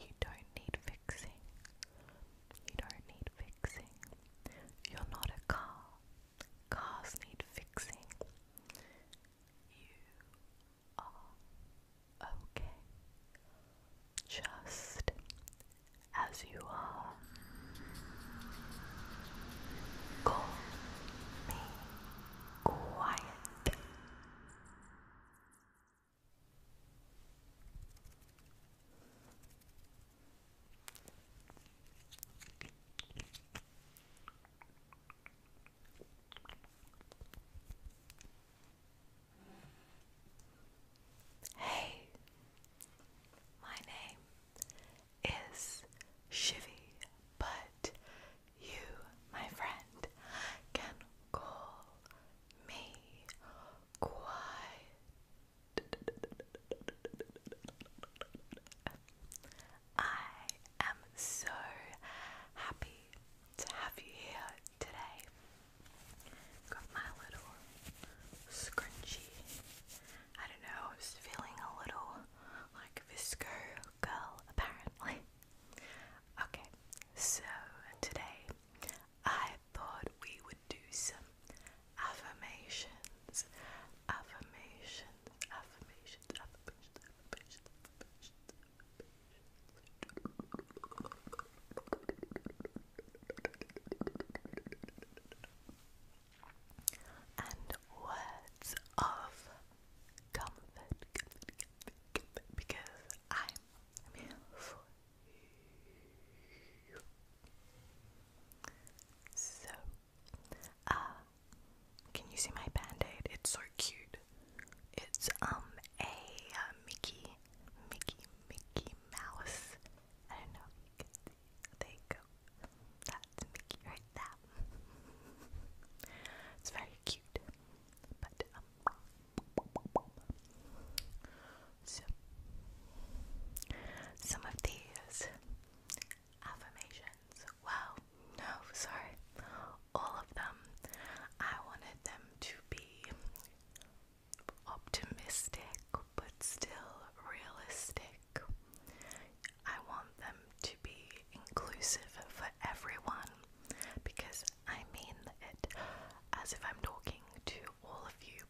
You don't need fixing. You don't need fixing. You're not a car. Cars need fixing. You are okay. Just as you are. Call me quiet. Hey, my name is Shivy, but you, my friend, can call me quiet. I am so happy to have you here today. Got my little scrunchie. I don't know, I was feeling a little like Visco girl apparently. Okay, so today I thought we would do some affirmations, affirmations, affirmations, affirmations, affirmations, affirmations. and words of comfort, comfort, comfort, comfort because I'm so, uh, can you see my band It's so cute. It's, um, a uh, Mickey, Mickey, Mickey Mouse. I don't know if you can see. There you go. That's Mickey right there. it's very cute. But, um, so, some of these affirmations, well, no, sorry, all of them, I wanted them to be optimistic but still realistic. I want them to be inclusive for everyone because I mean it as if I'm talking to all of you,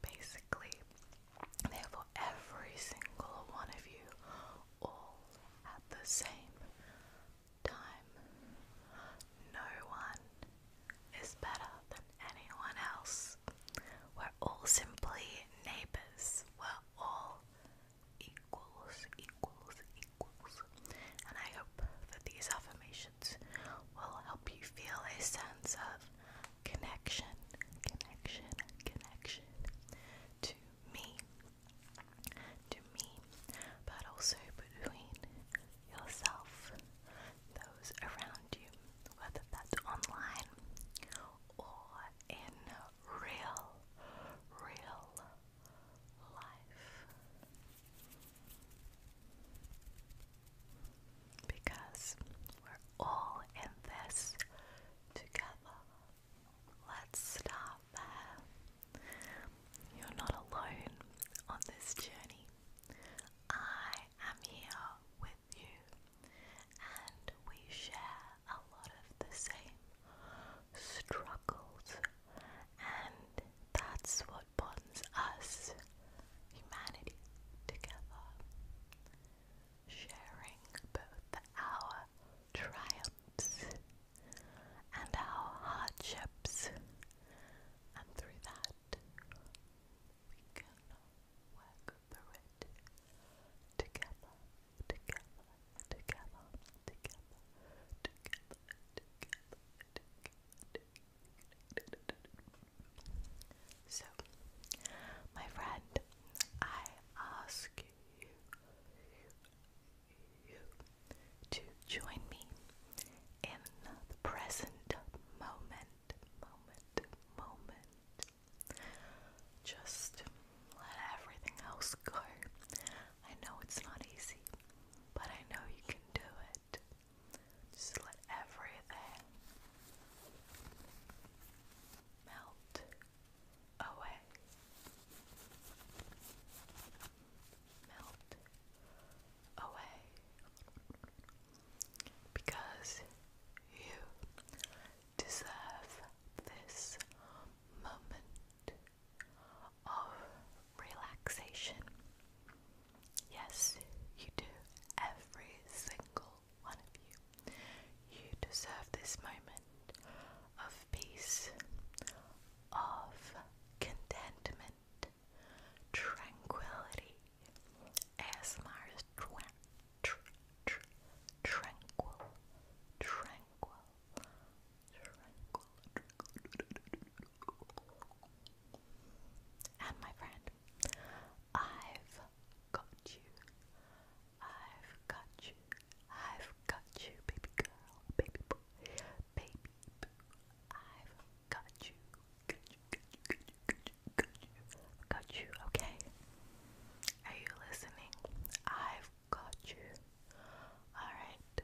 basically. Therefore, every single one of you, all at the same time. No one is better than anyone else. We're all simply neighbours. We're all equals, equals, and I hope that these affirmations will help you feel a sense of connection, connection, connection to me, to me, but also between yourself, those around you, whether that's online or in real, real life. Because we're all in this together. Let's start there. You're not alone on this journey. I am here with you, and we share a lot of the same struggles, and that's what bonds us, humanity, together. Sharing both our triumphs and our hardships, and through that we can work through it together, together, together, together, together, together, so, my friend, I ask you, to join me in the present moment. Just let everything else go. I know it's not easy, but I know you can do it. Just let everything melt away. Melt away. Because you deserve this moment of relaxation. Yes, you do. Every single one of you. You deserve this moment of peace, of contentment, tranquility. As Mars tranquil, tranquil, and my friend, I've got you. I've got you. I've got you, baby girl, baby boy, baby boo. I've got you. Got you, got you, got you, got you, got you. Got you, okay? Are you listening? I've got you. Alright.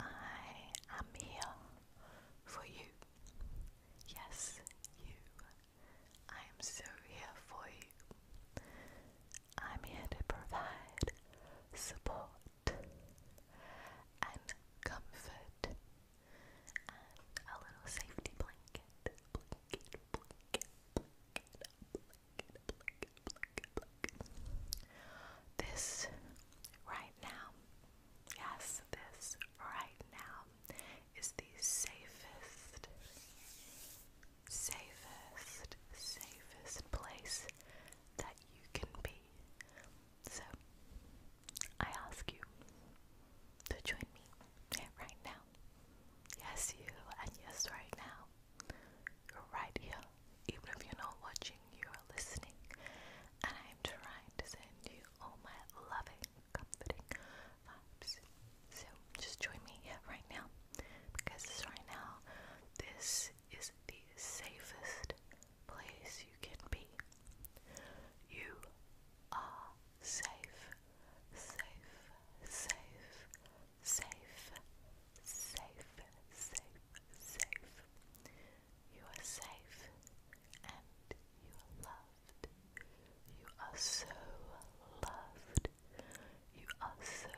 I am here for you. Yes, you. I am so here for you. I'm here to provide support and comfort and a little safety blanket look, This right now, yes, this right now is the safest, safest, safest place that you can be. So, I ask you to join me right now. Yes, you, and yes, right now. right here, even if you're not watching, you are listening. And I am trying to send you all my loving, comforting vibes. So just join me here right now. Because right now, this is the safest place you can be. You are safe, safe, safe, safe, safe, safe, safe. You are safe and you are loved. You are so loved. You are so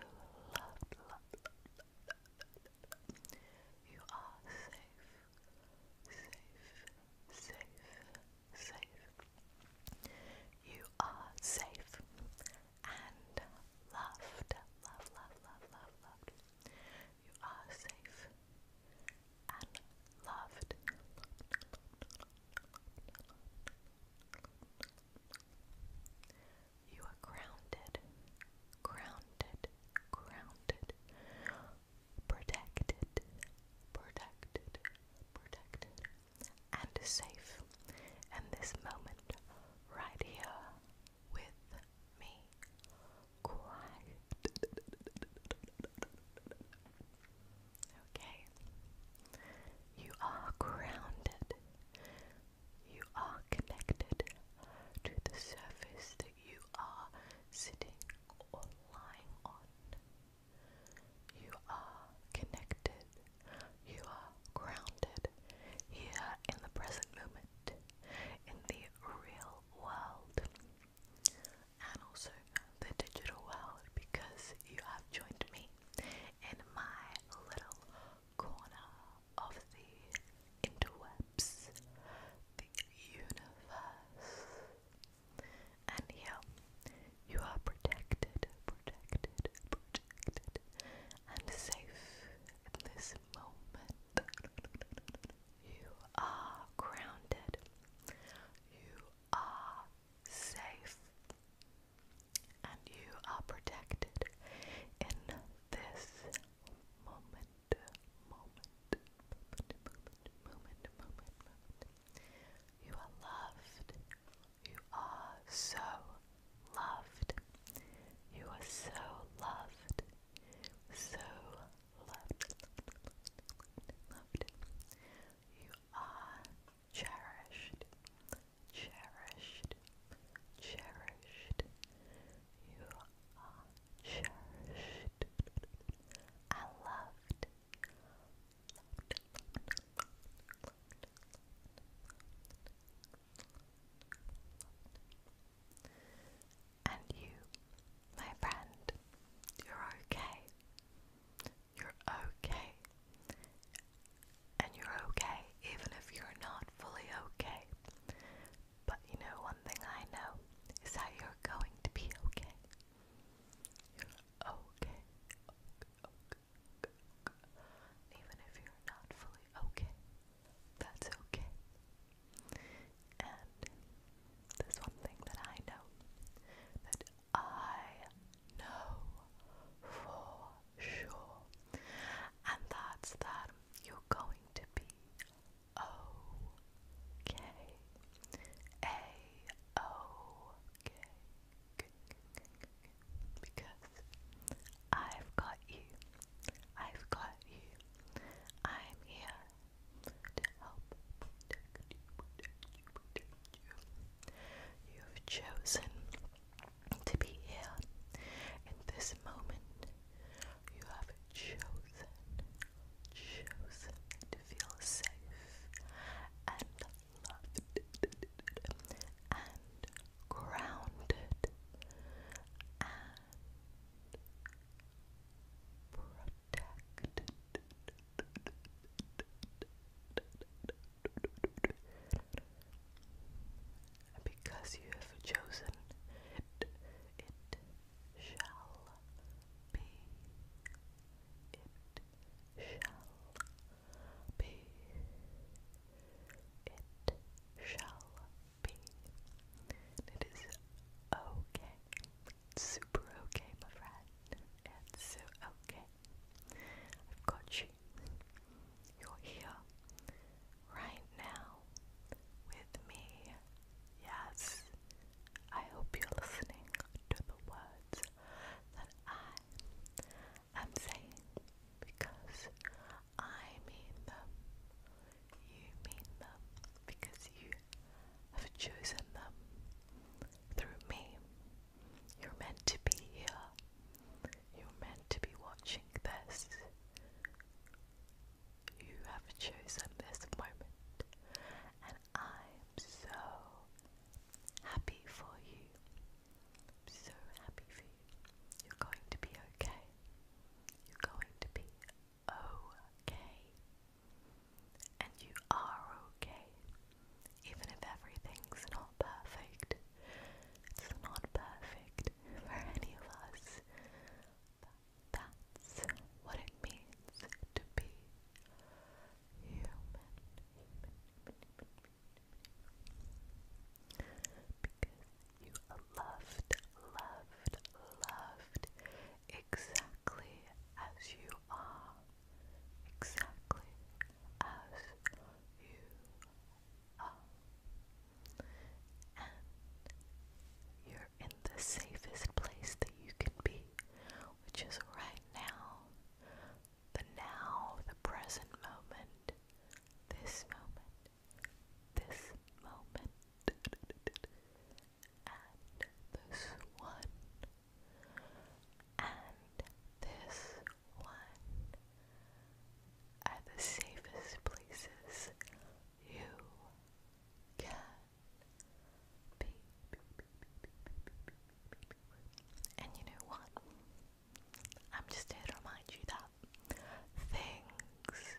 loved. loved, loved, loved, loved. You are safe, safe, safe, safe. You are safe and loved, loved, loved, loved, loved, loved. You are safe and loved. You are grounded, grounded, grounded, protected, protected, protected, and safe in this moment right here, with me. Okay. You are grounded. You are connected to the surface that you are sitting or lying on. You are connected. You are grounded here in the present moment in the real world and also the digital world because you have joined me in my little corner of the interwebs, the universe. And here you are protected, protected, protected, and safe in this moment. You are grounded. You are safe. And you are protected in this moment. Moment. Moment. Moment. Moment. Moment. You are loved. You are so loved. You are so loved. So loved, loved, You are cherished, cherished, cherished. You are cherished and loved, loved, loved, and you, my friend, you're okay. You're okay. And you're okay, even if you're not fully okay. But you know, one thing I know is that you're going to be okay. okay. Even if you're not fully okay, that's okay. And there's one thing that I know that I know for sure, and that's that you're going to be okay. A Because I've got you I've got you. I'm here to help you, have chosen to be here in this moment. You have chosen, chosen to feel safe and loved and grounded protect because you have chosen it, it shall be. It shall be. It shall it is okay. super okay, my friend. It's so okay. I've got you. You're here right now with me. Yes. I hope you're listening to the words that I am saying because I mean them you mean them because you have chosen them through me. You're meant to be here. You're meant to be watching this. You have chosen this moment, and I'm so happy for you. so happy for you. You're going to be okay. You're going to be okay. And you are okay. Even if everything's not perfect, it's not perfect for any of us. that's what it means to be human. Because you loved, loved, loved exactly as you are. Exactly as you are. And you're in the safest place that you can be, which is right now. The now, the present moment, this moment, this moment and this one and this one are the safest places you can be. And you know what? I'm just here to remind you that things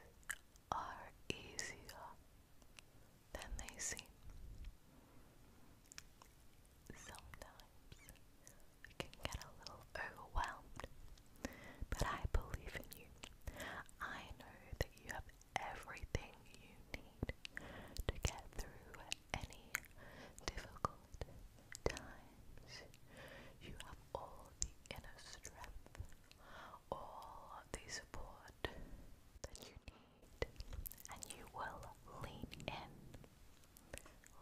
are easier than they seem. Sometimes we can get a little overwhelmed, but I believe in you. I know that you have everything you need to get through any difficult times. You have all the inner strength all the support that you need, and you will lean in,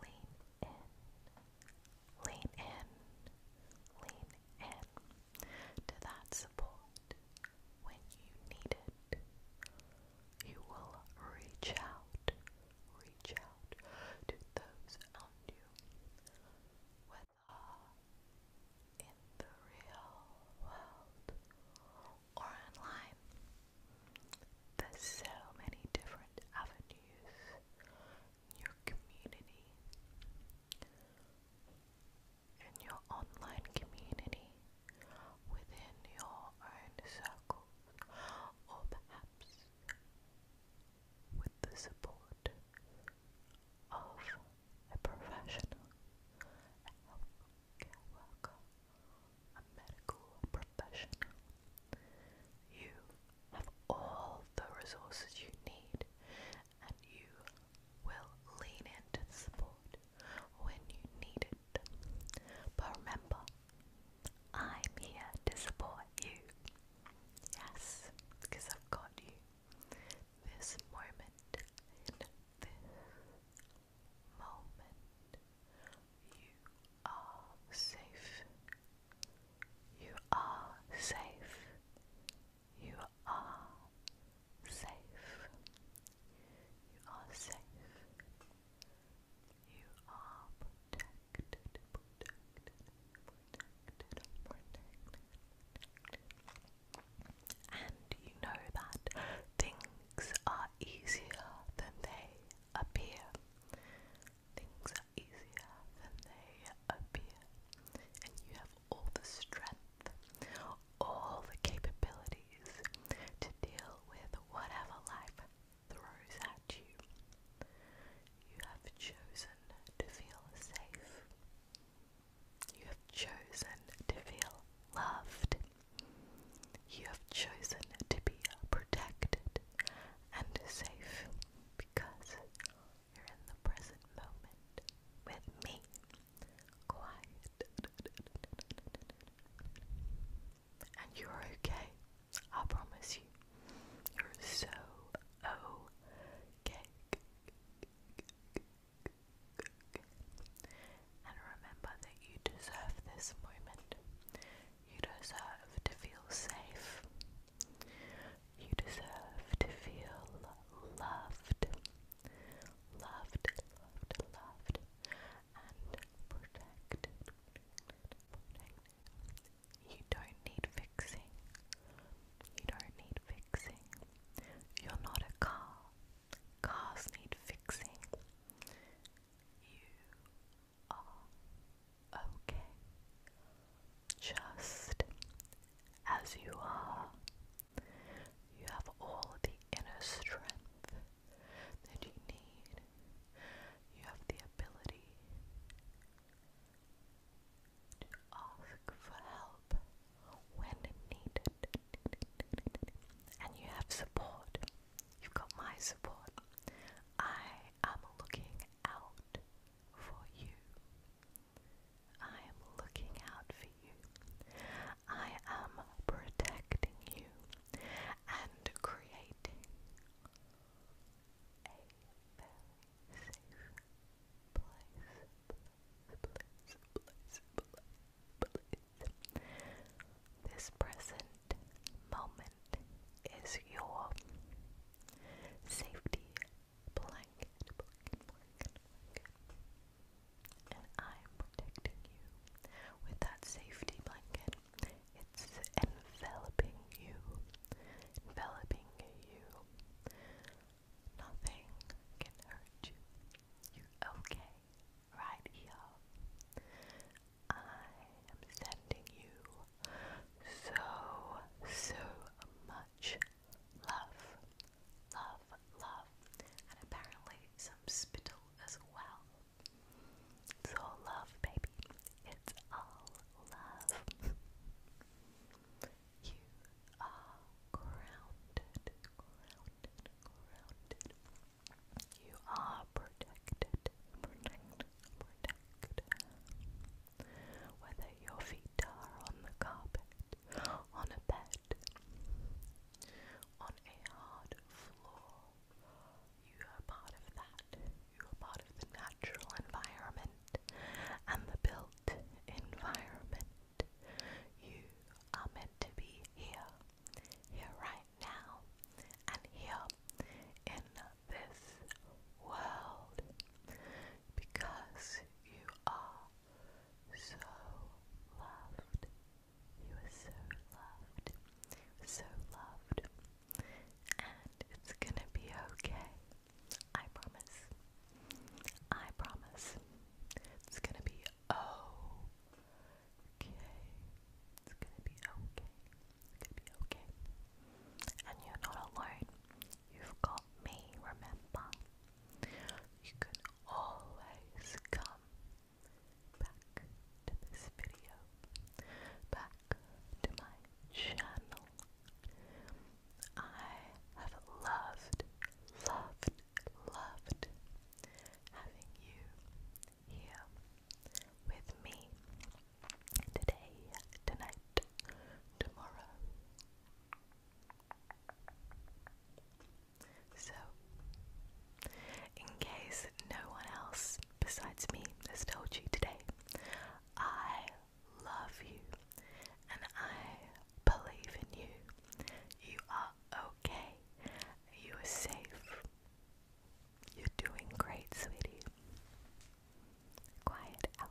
lean in, lean in, lean in to that support when you need it. You will reach out, reach out to those around you in the real world or online. There's so many different avenues your community in your online community within your own circles perhaps with the support of a professional, healthcare worker, a medical professional. You have all the resources you need and you will lean into the support when you need it. But remember, I'm here to support you. Yes, because I've got you this moment, in this moment, you are safe. You are safe. You are safe. You are safe. You are protected, protected, And you know that things are easier than they appear. Things are easier than they appear. And you have all the strength, all the capabilities to deal with whatever life throws at you. You have chosen to feel safe. You have chosen to feel loved. You have chosen to be protected and safe because you're in the present moment with me. Quiet. And you're okay. I promise you. You're so okay. And remember that you deserve this moment. You deserve to feel safe. You deserve to feel loved. Loved, loved, loved. And protected. Protected. You don't need fixing. You don't need fixing. You're not a car. Cars need fixing. You are okay. Just as you are. You have all the inner strength that you need. You have the ability ask for help when needed. And you have support. You've got my support. I am looking out for you. I am looking out for you. I am protecting you and creating a very safe place this present moment is your safety blanket, blanket. And I'm protecting you with that safety blanket. It's enveloping you, enveloping you. Nothing can hurt you. You're okay right here. I am sending you so, so much love. Love, love. And apparently some spittle as well. It's all love, baby. It's all love. You are grounded, grounded, grounded. You are protected, protected, protected. Whether your feet are on the carpet, on a bed, on a hard floor, you are part of that. You are part of the natural environment and the built environment. You are meant to be here, here right now, and here in this world because you are so loved. You are so loved, so loved, and it's gonna be okay. I promise. I promise. It's gonna be okay. It's gonna be okay. It's gonna be okay. And you're not alone. You've got me, remember? You can always come back to this video, back to my channel, I have loved, loved, loved having you here with me today, tonight, tomorrow. So, in case no one else besides me has told you today, I love you and I believe in you. You are okay. You are safe. You're doing great, sweetie. Quiet out.